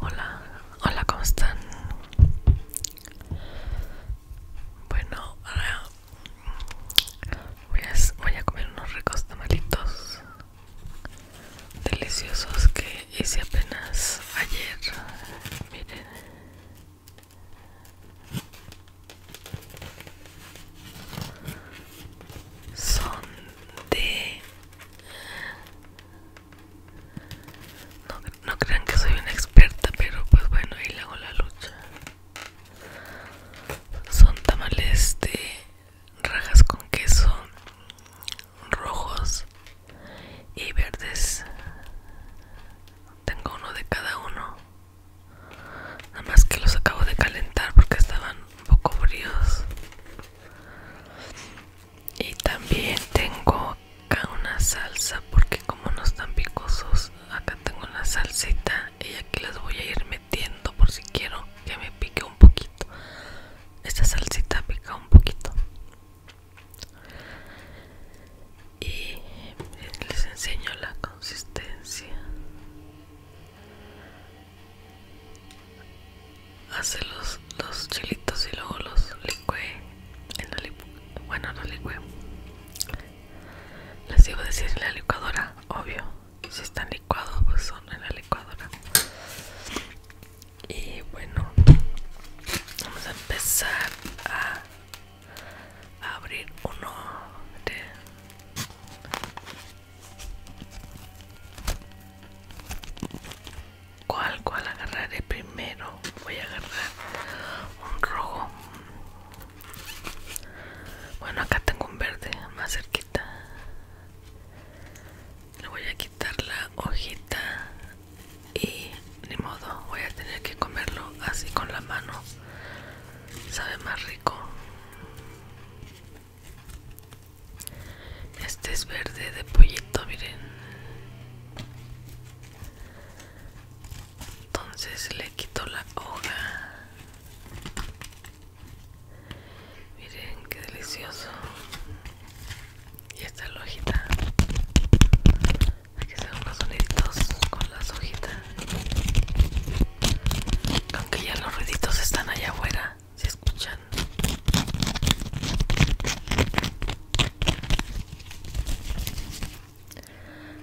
Hola, hola, ¿cómo están? Bueno, ahora voy a, comer unos ricos tamalitos deliciosos que hice apenas ayer. Miren. Son de no, crean que soy una experta, pero pues bueno, ahí le hago la lucha. Son tamales de rajas con queso, rojos y verdes. Tengo uno de cada uno. Nada más que los acabo de calentar porque estaban un poco fríos y también tengo acá una salsa porque como no están picosos acá tengo una salsita y aquí las voy a ir metiendo por si quiero que me pique un poquito esta salsita pica un poquito y les enseño la consistencia hace los, los chilitos y luego los licué en la bueno no licué les iba a decir en la licuadora obvio si están licuados pues son en la licuadora y bueno vamos a empezar a abrir uno de ¿Cuál, cuál agarraré primero? Voy a agarrar un rojo. Bueno, acá tengo un verde más cerquita. Le voy a quitar la hojita y ni modo, voy a tener que comerlo así con la mano. Sabe más rico. Este es verde de pollito, miren. Entonces le quito la hoja. Miren qué delicioso. Y esta es la hojita. Aquí se unos soniditos con las hojitas. Aunque ya los ruiditos están allá afuera, se escuchan.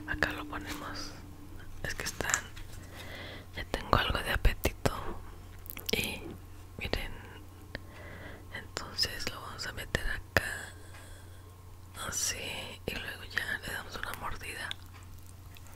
Acá lo ponemos. Es que están. Ya tengo algo de apetito. Y miren. Entonces lo vamos a meter acá. Así. Y luego ya le damos una mordida.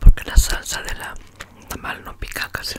Porque la salsa de la tamal no pica casi.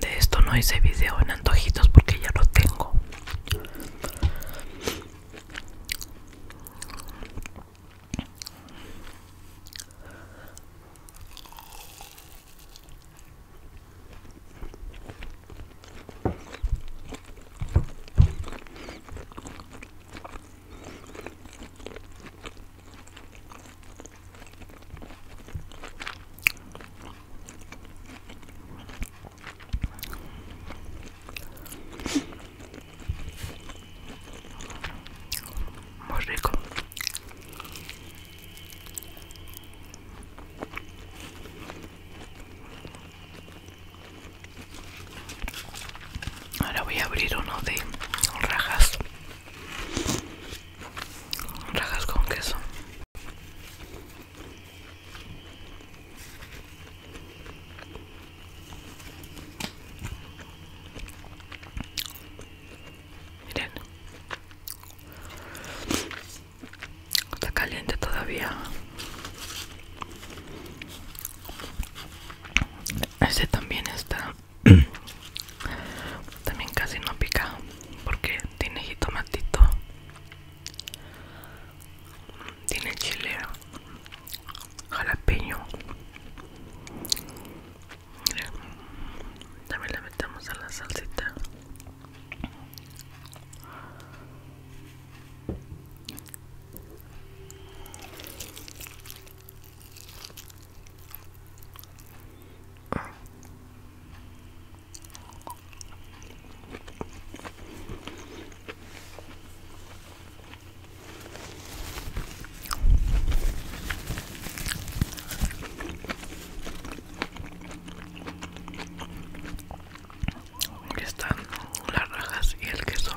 de esto no hice video en antojitos porque ya lo tengo muy rico. Ahora voy a abrir uno de rajas rajas con queso miren está caliente todavía Ese también está También casi no pica porque tiene jitomatito. Tiene chile jalapeño. también le metemos a la salsita. Aquí están las rajas y el queso.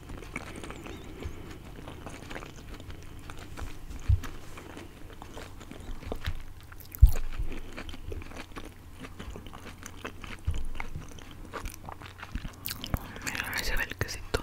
Mira, ahí se ve el quesito.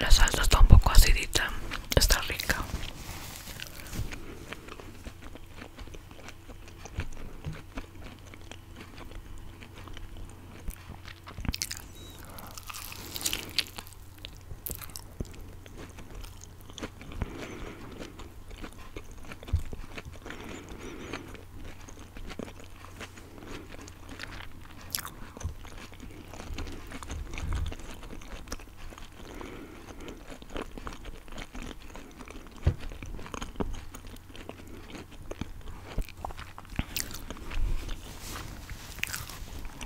La salsa está un poco acidita, está rica.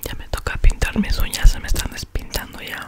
Ya me toca pintar mis uñas, se me están despintando ya.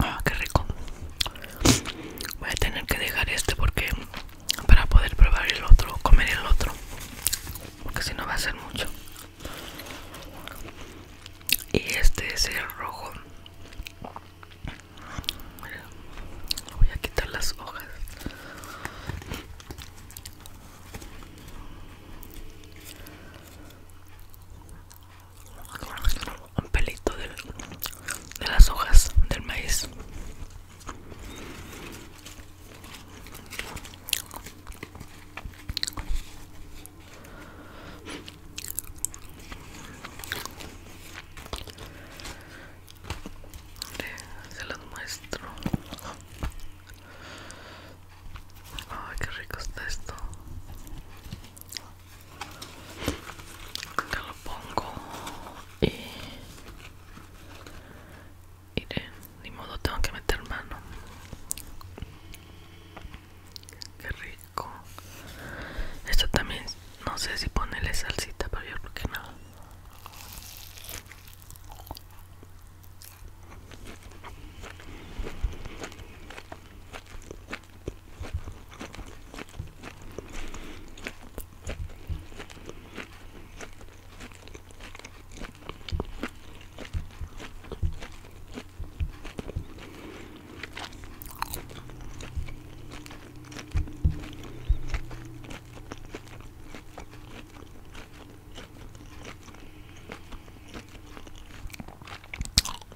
Ah, qué rico. Voy a tener que dejar este porque para poder probar el otro, comer el otro, porque si no va a ser mucho. Y este es el rojo. voy a quitar las hojas. Un pelito de las hojas del maíz. Se los muestro. Ay, qué rico está esto. Acá lo pongo y Mire, ni modo tengo que meter mano. Qué rico. Esto también, no sé si ponerle salsita, pero yo creo que no.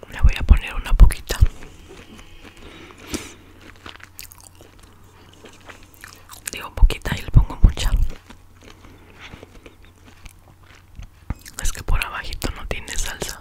Le voy a poner una poquita Digo poquita y le pongo mucha. Es que por abajito no tiene salsa.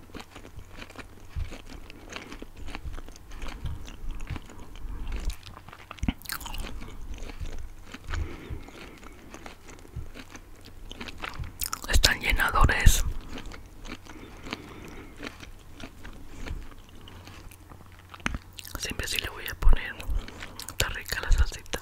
Están llenadores. Siempre si le voy a poner. Está rica la salsita.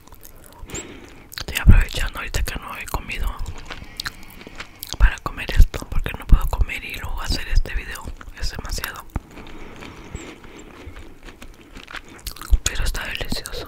Estoy aprovechando ahorita que no he comido para comer esto porque no puedo comer y luego hacer este video es demasiado pero está delicioso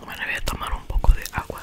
Bueno, voy a tomar un poco de agua.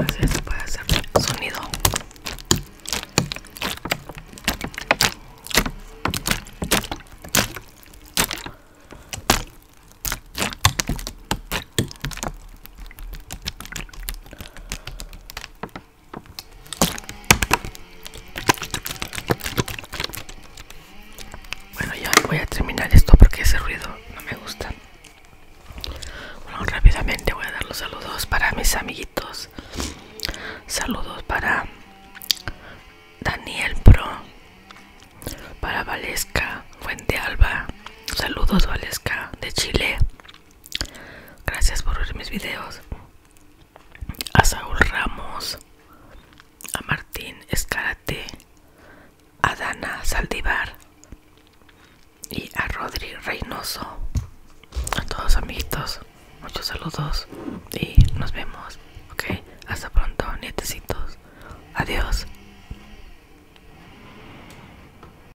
No si se puede hacer sonido. Bueno, ya voy a terminar esto porque ese ruido no me gusta. Bueno, rápidamente voy a dar los saludos para mis amiguitos. Saludos para Daniel Pro, para Valesca Fuente Alba. Saludos Valesca de Chile. Gracias por ver mis videos. A Saúl Ramos, a Martín Escarate, a Dana Saldivar y a Rodri Reynoso. A todos amiguitos, muchos saludos y nos vemos. Ok, hasta pronto, nietecitos. Adiós.